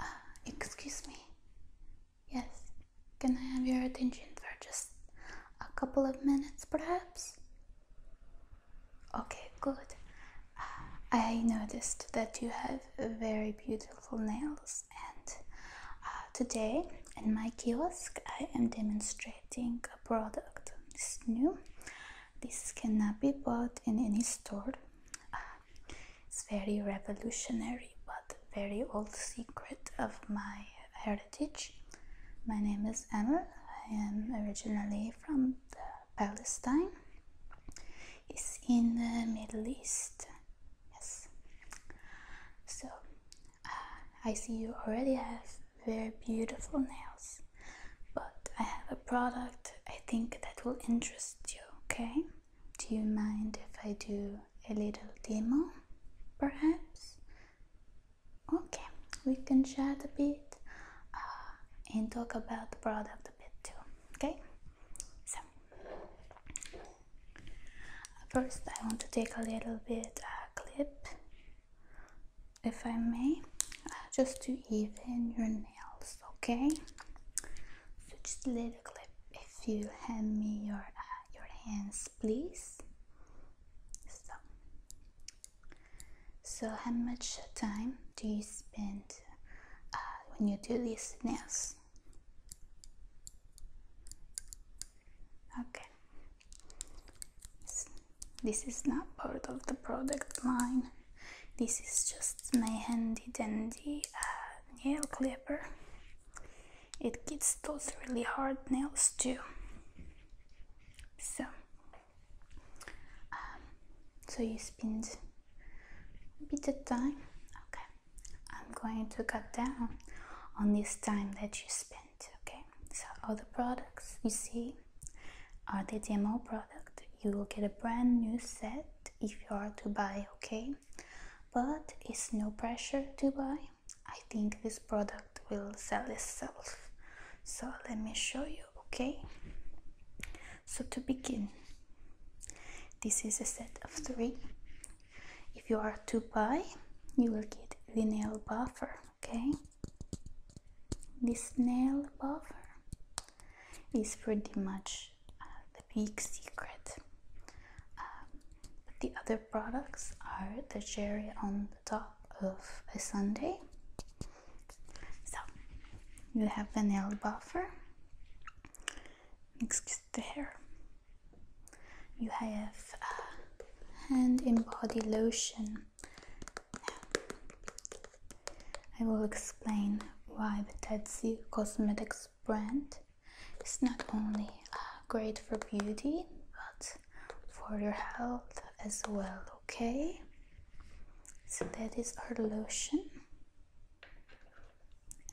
Uh, excuse me. Yes, can I have your attention for just a couple of minutes, perhaps? Okay, good. Uh, I noticed that you have very beautiful nails, and uh, today in my kiosk I am demonstrating a product. It's new. This cannot be bought in any store. It's very revolutionary but very old secret of my heritage. My name is Amel. I am originally from Palestine. It's in the Middle East. Yes. So uh, I see you already have very beautiful nails, but I have a product I think that will interest you, okay? Do you mind if I do a little demo, perhaps? Okay, we can chat a bit uh, and talk about the product a bit too, okay? So, first I want to take a little bit uh, clip, if I may, uh, just to even your name okay? So just a little clip. If you hand me your uh, your hands, please. So, so how much time do you spend uh, when you do these nails? Okay. This is not part of the product line. This is just my handy dandy uh, nail clipper. It gets those really hard nails too. So, um, so you spend a bit of time. Okay, I'm going to cut down on this time that you spent. Okay, so all the products you see are the demo product. You will get a brand new set if you are to buy, okay? But it's no pressure to buy. I think this product will sell itself. So let me show you, okay? So to begin, this is a set of three. If you are to buy, you will get the nail buffer, okay? This nail buffer is pretty much uh, the big secret. Um, the other products are the cherry on the top of a Sunday. So you have the nail buffer mixed the hair. You have uh, hand and body lotion. I will explain why the Tetsu Cosmetics brand is not only uh, great for beauty but for your health as well, okay? So that is our lotion.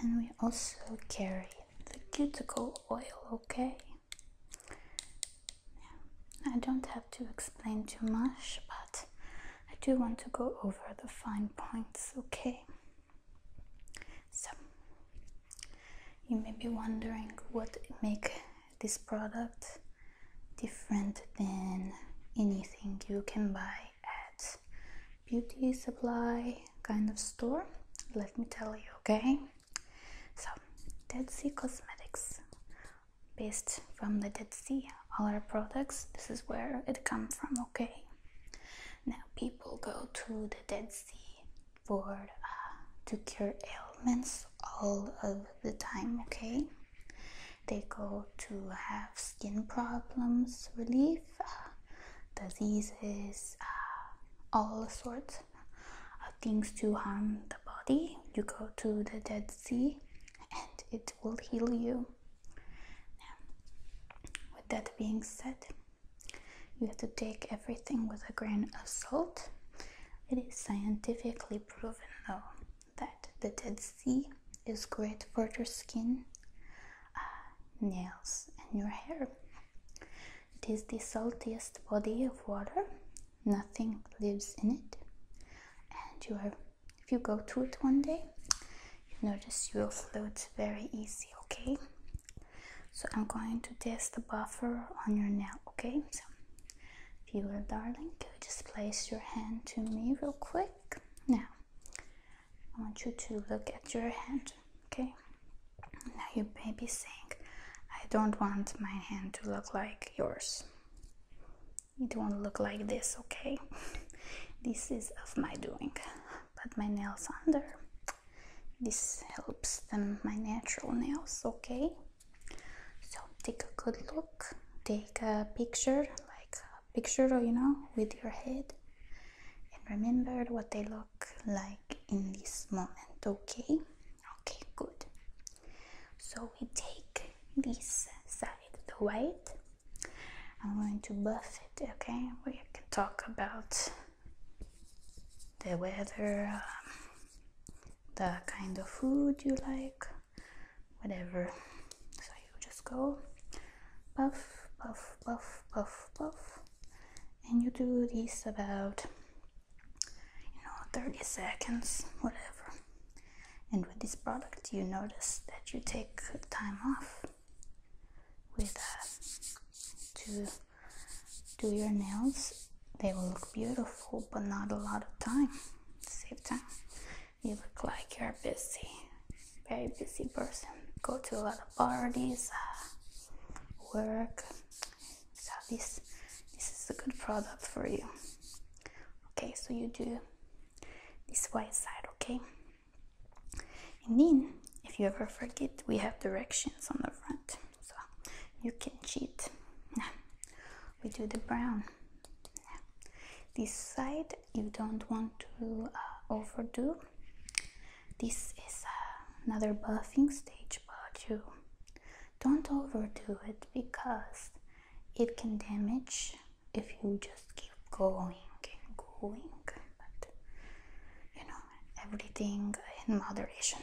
And we also carry the cuticle oil, okay? I don't have to explain too much, but I do want to go over the fine points, okay? So you may be wondering what make this product different than anything you can buy at beauty supply kind of store. Let me tell you, okay? So Dead Sea Cosmetics based from the Dead Sea all our products this is where it comes from okay now people go to the dead sea for uh, to cure ailments all of the time okay they go to have skin problems relief uh, diseases uh, all sorts of things to harm the body you go to the dead sea and it will heal you with that being said, you have to take everything with a grain of salt. It is scientifically proven, though, that the Dead Sea is great for your skin, uh, nails, and your hair. It is the saltiest body of water, nothing lives in it, and you have if you go to it one day you notice you will float very easy okay so i'm going to test the buffer on your nail okay so viewer darling could you just place your hand to me real quick now i want you to look at your hand okay now you may be saying i don't want my hand to look like yours it won't look like this okay this is of my doing Put my nails under. This helps them, my natural nails, okay? So take a good look, take a picture, like a picture, you know, with your head, and remember what they look like in this moment, okay? Okay, good. So we take this side, the white I'm going to buff it, okay? We can talk about the weather, um, the kind of food you like, whatever. So you just go buff, buff, buff, buff, buff, and you do this about you know 30 seconds, whatever. And with this product, you notice that you take time off with uh, to do your nails they will look beautiful but not a lot of time save time you look like you're busy very busy person go to a lot of parties uh, work so this this is a good product for you okay so you do this white side okay and then, if you ever forget, we have directions on the front, so you can cheat. We do the brown. This side you don't want to uh, overdo. This is uh, another buffing stage, but you don't overdo it because it can damage if you just just keep going and going, but you know, everything in moderation,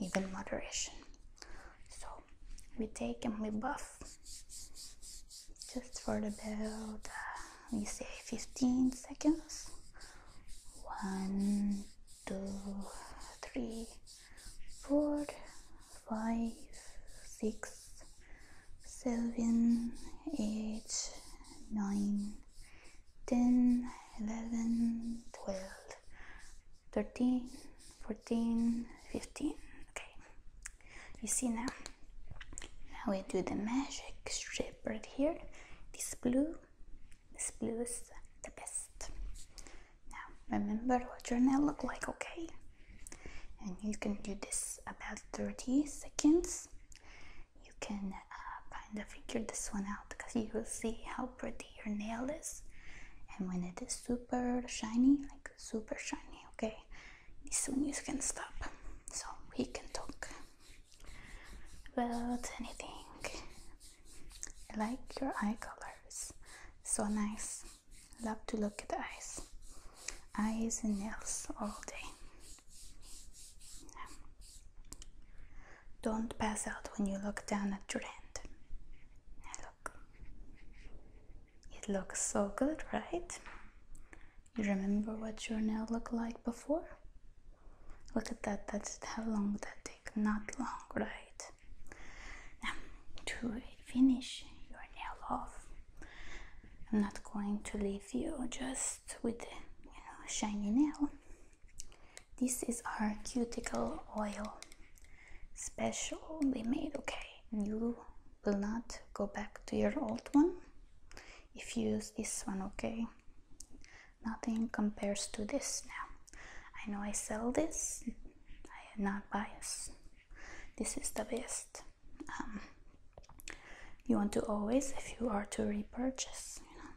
even moderation. So we take and we buff just for about uh, we say 15 seconds. One, two, three, four, five, six, seven, eight, nine, ten, eleven, twelve, thirteen, fourteen, fifteen. Okay, you see now. Now we do the magic strip right here. This blue, this blue is the best. Now remember what your nail look like, okay? And you can do this about 30 seconds you can uh, kind of figure this one out because you will see how pretty your nail is and when it is super shiny like super shiny okay soon you can stop so we can talk about anything I like your eye colors so nice love to look at the eyes eyes and nails all day don't pass out when you look down at your hand. look. It looks so good, right? You remember what your nail looked like before? Look at that, that's how long that take? Not long, right? Now, to finish your nail off, I'm not going to leave you just with shiny nail. This is our cuticle oil special made. Okay, you will not go back to your old one if you use this one. Okay, nothing compares to this now. I know I sell this, I am not biased. This is the best. Um, you want to always if you are to repurchase you know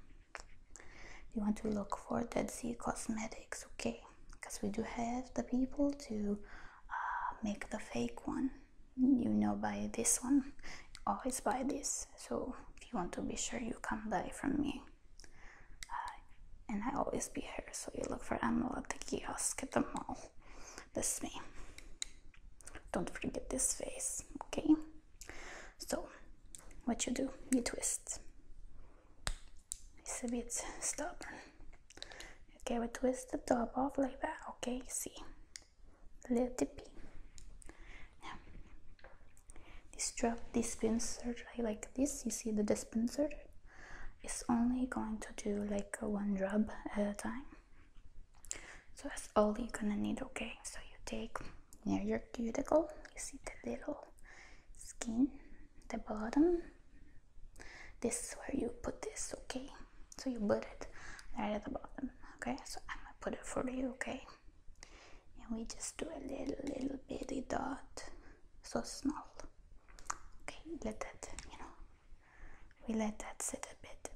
you want to look for dead sea cosmetics okay because we do have the people to uh, make the fake one you know buy this one always buy this so if you want to be sure you can't buy from me uh, and i always be here so you look for ammo at the kiosk at the mall that's me don't forget this face okay so, what you do, you twist. It's a bit stubborn. Okay, we twist the top off like that. Okay, see, little tippy. Yeah. This drop, this pincer like this. You see the dispenser is only going to do like one drop at a time. So that's all you're gonna need, okay? So you take near your cuticle, you see the little skin, the bottom. This is where you put this, okay? So you put it right at the bottom, okay? So I'm gonna put it for you, okay? And we just do a little, little bitty dot, so small. Okay, let that, you know, we let that sit a bit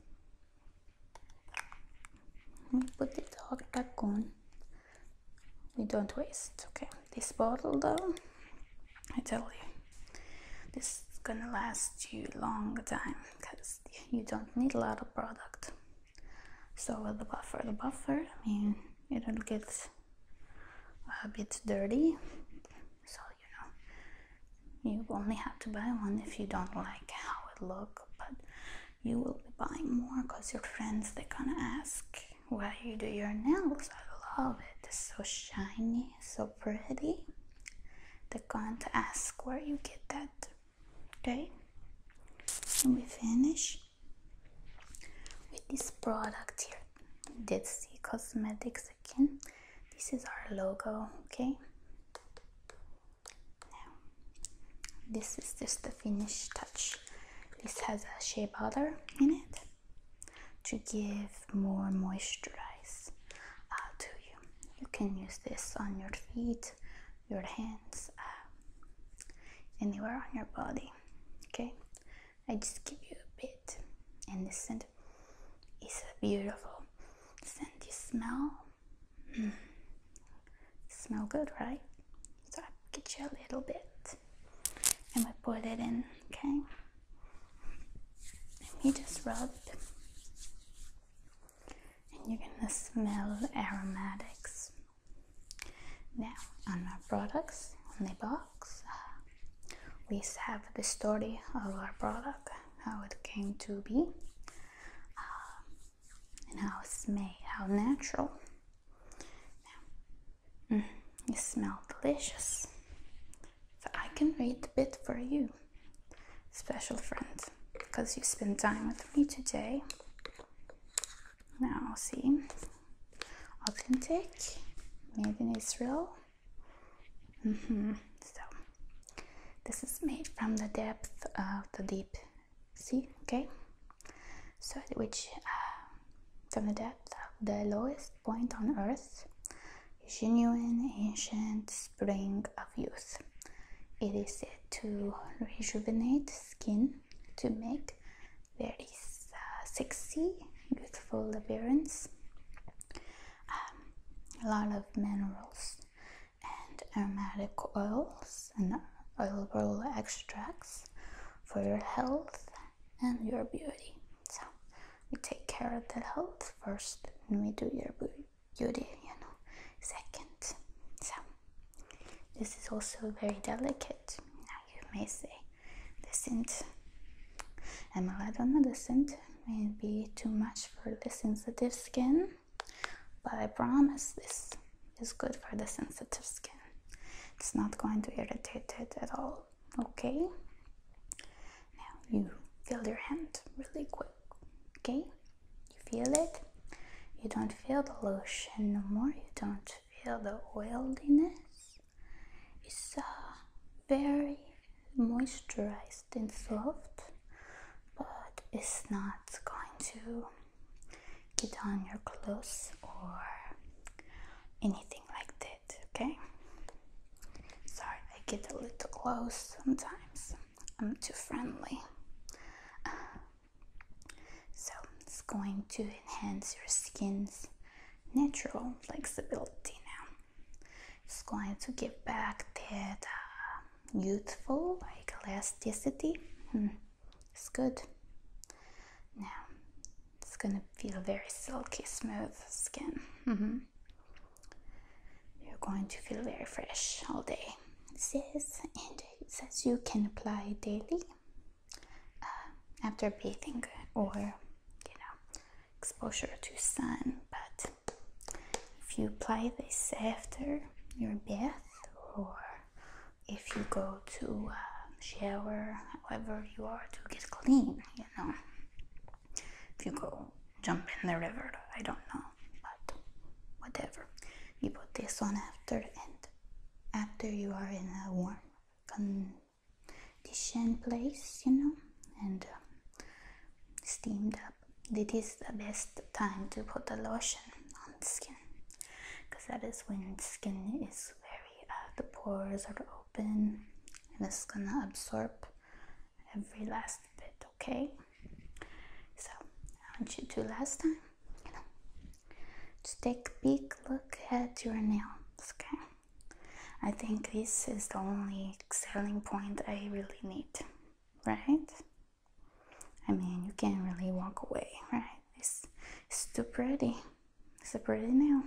put the dog back on we don't waste okay this bottle though i tell you this is gonna last you long time because you don't need a lot of product so with the buffer the buffer i mean it'll get a bit dirty so you know you only have to buy one if you don't like how look but you will be buying more because your friends they're gonna ask why you do your nails i love it it's so shiny so pretty they're going to ask where you get that okay and we finish with this product here dead see cosmetics again this is our logo okay now, this is just the finished touch. This has a shea butter in it to give more moisturize uh, to you. You can use this on your feet, your hands, uh, anywhere on your body. Okay, I just give you a bit, and the scent is a beautiful scenty smell. Hmm, Smell good, right? So I get you a little bit and we put it in, okay? Let me just rub And you're gonna smell aromatics. Now, on our products, on the box, uh, we have the story of our product, how it came to be. Uh, and how made, how natural. Now, mm, you smell delicious. So I can read a bit for you, special friend, because you spent time with me today. Now, see, authentic, made in Israel. Mm -hmm. So, this is made from the depth of the deep See, okay? So which uh, from the depth of the lowest point on earth is genuine ancient spring of youth. It is said to rejuvenate skin, to make very uh, sexy, beautiful appearance. Um, a lot of minerals and aromatic oils and oil extracts for your health and your beauty. So we take care of the health first, and we do your beauty, you know, second. So this is also very delicate. Now you may say, scent. am I on the scent?" May be too much for the sensitive skin but I promise this is good for the sensitive skin. It's not going to irritate it at all. Okay? Now you feel your hand really quick. Okay? You feel it? You don't feel the lotion no more. You don't feel the oiliness. It's very moisturized and soft, but it's not going to get on your clothes or anything like that, okay? Sorry, I get a little close sometimes. I'm too friendly. So it's going to enhance your skin's natural flexibility now. It's going to give back that uh, youthful, like elasticity. Hmm. it's good. Now it's gonna feel very silky, smooth skin. Mm-hmm. You're going to feel very fresh all day. It says, and it says you can apply daily uh, after bathing or you know exposure to sun, but if you apply this after your bath, or if you go to uh, shower, however you are to get clean, you know. If you go jump in the river, I don't know, but whatever. You put this on after and after you are in a warm condition place, you know, and um, steamed up up. This is the best time to put the lotion on the skin because that is when the skin is very uh, the pores are open and it's gonna absorb every last bit okay so i want you to last time you know just take a big look at your nails okay i think this is the only selling point i really need right I mean, you can't really walk away, right? It's, too pretty. It's a pretty nail.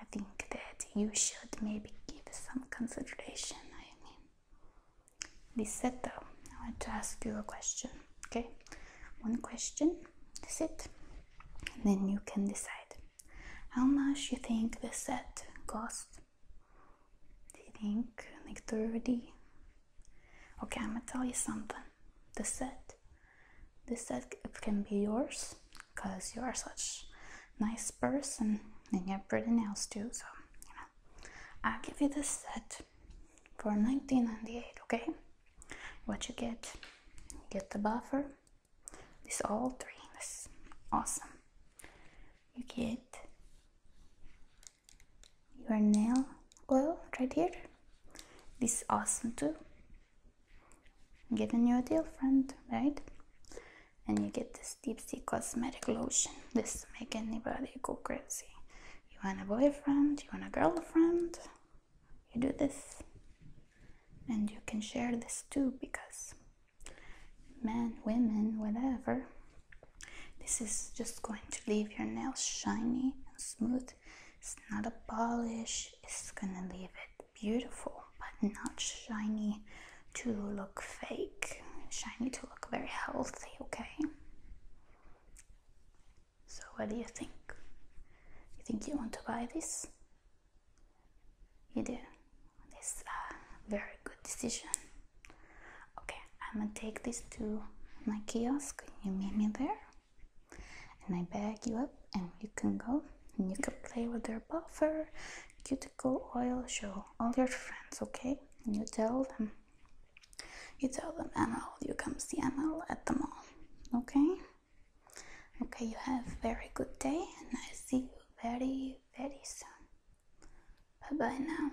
I think that you should maybe give some consideration. I mean, this Lisetta, I want to ask you a question, okay? One question, that's it. And then you can decide how much you think this set costs do you think like 30 okay i'm gonna tell you something the set the set can be yours because you are such a nice person and you have pretty nails too so you know i'll give you this set for 1998 okay what you get you get the buffer this all three awesome you get your nail oil right here. This is awesome too. Get a new deal, friend, right? And you get this deep sea cosmetic lotion. This make anybody go crazy. You want a boyfriend, you want a girlfriend, you do this. And you can share this too because men, women, whatever, this is just going to leave your nails shiny and smooth. It's not a polish, it's gonna leave it beautiful but not shiny to look fake, shiny to look very healthy, okay? So, what do you think? You think you want to buy this? You do. This is uh, a very good decision. Okay, I'm gonna take this to my kiosk. You meet me there, and I bag you up, and you can go and you can play with your buffer, cuticle oil. Show all your friends, okay? And you tell them, you tell them, Emerald, you come see Emerald at the mall, okay? Okay, you have very good day, and I see you very, very soon. Bye bye now.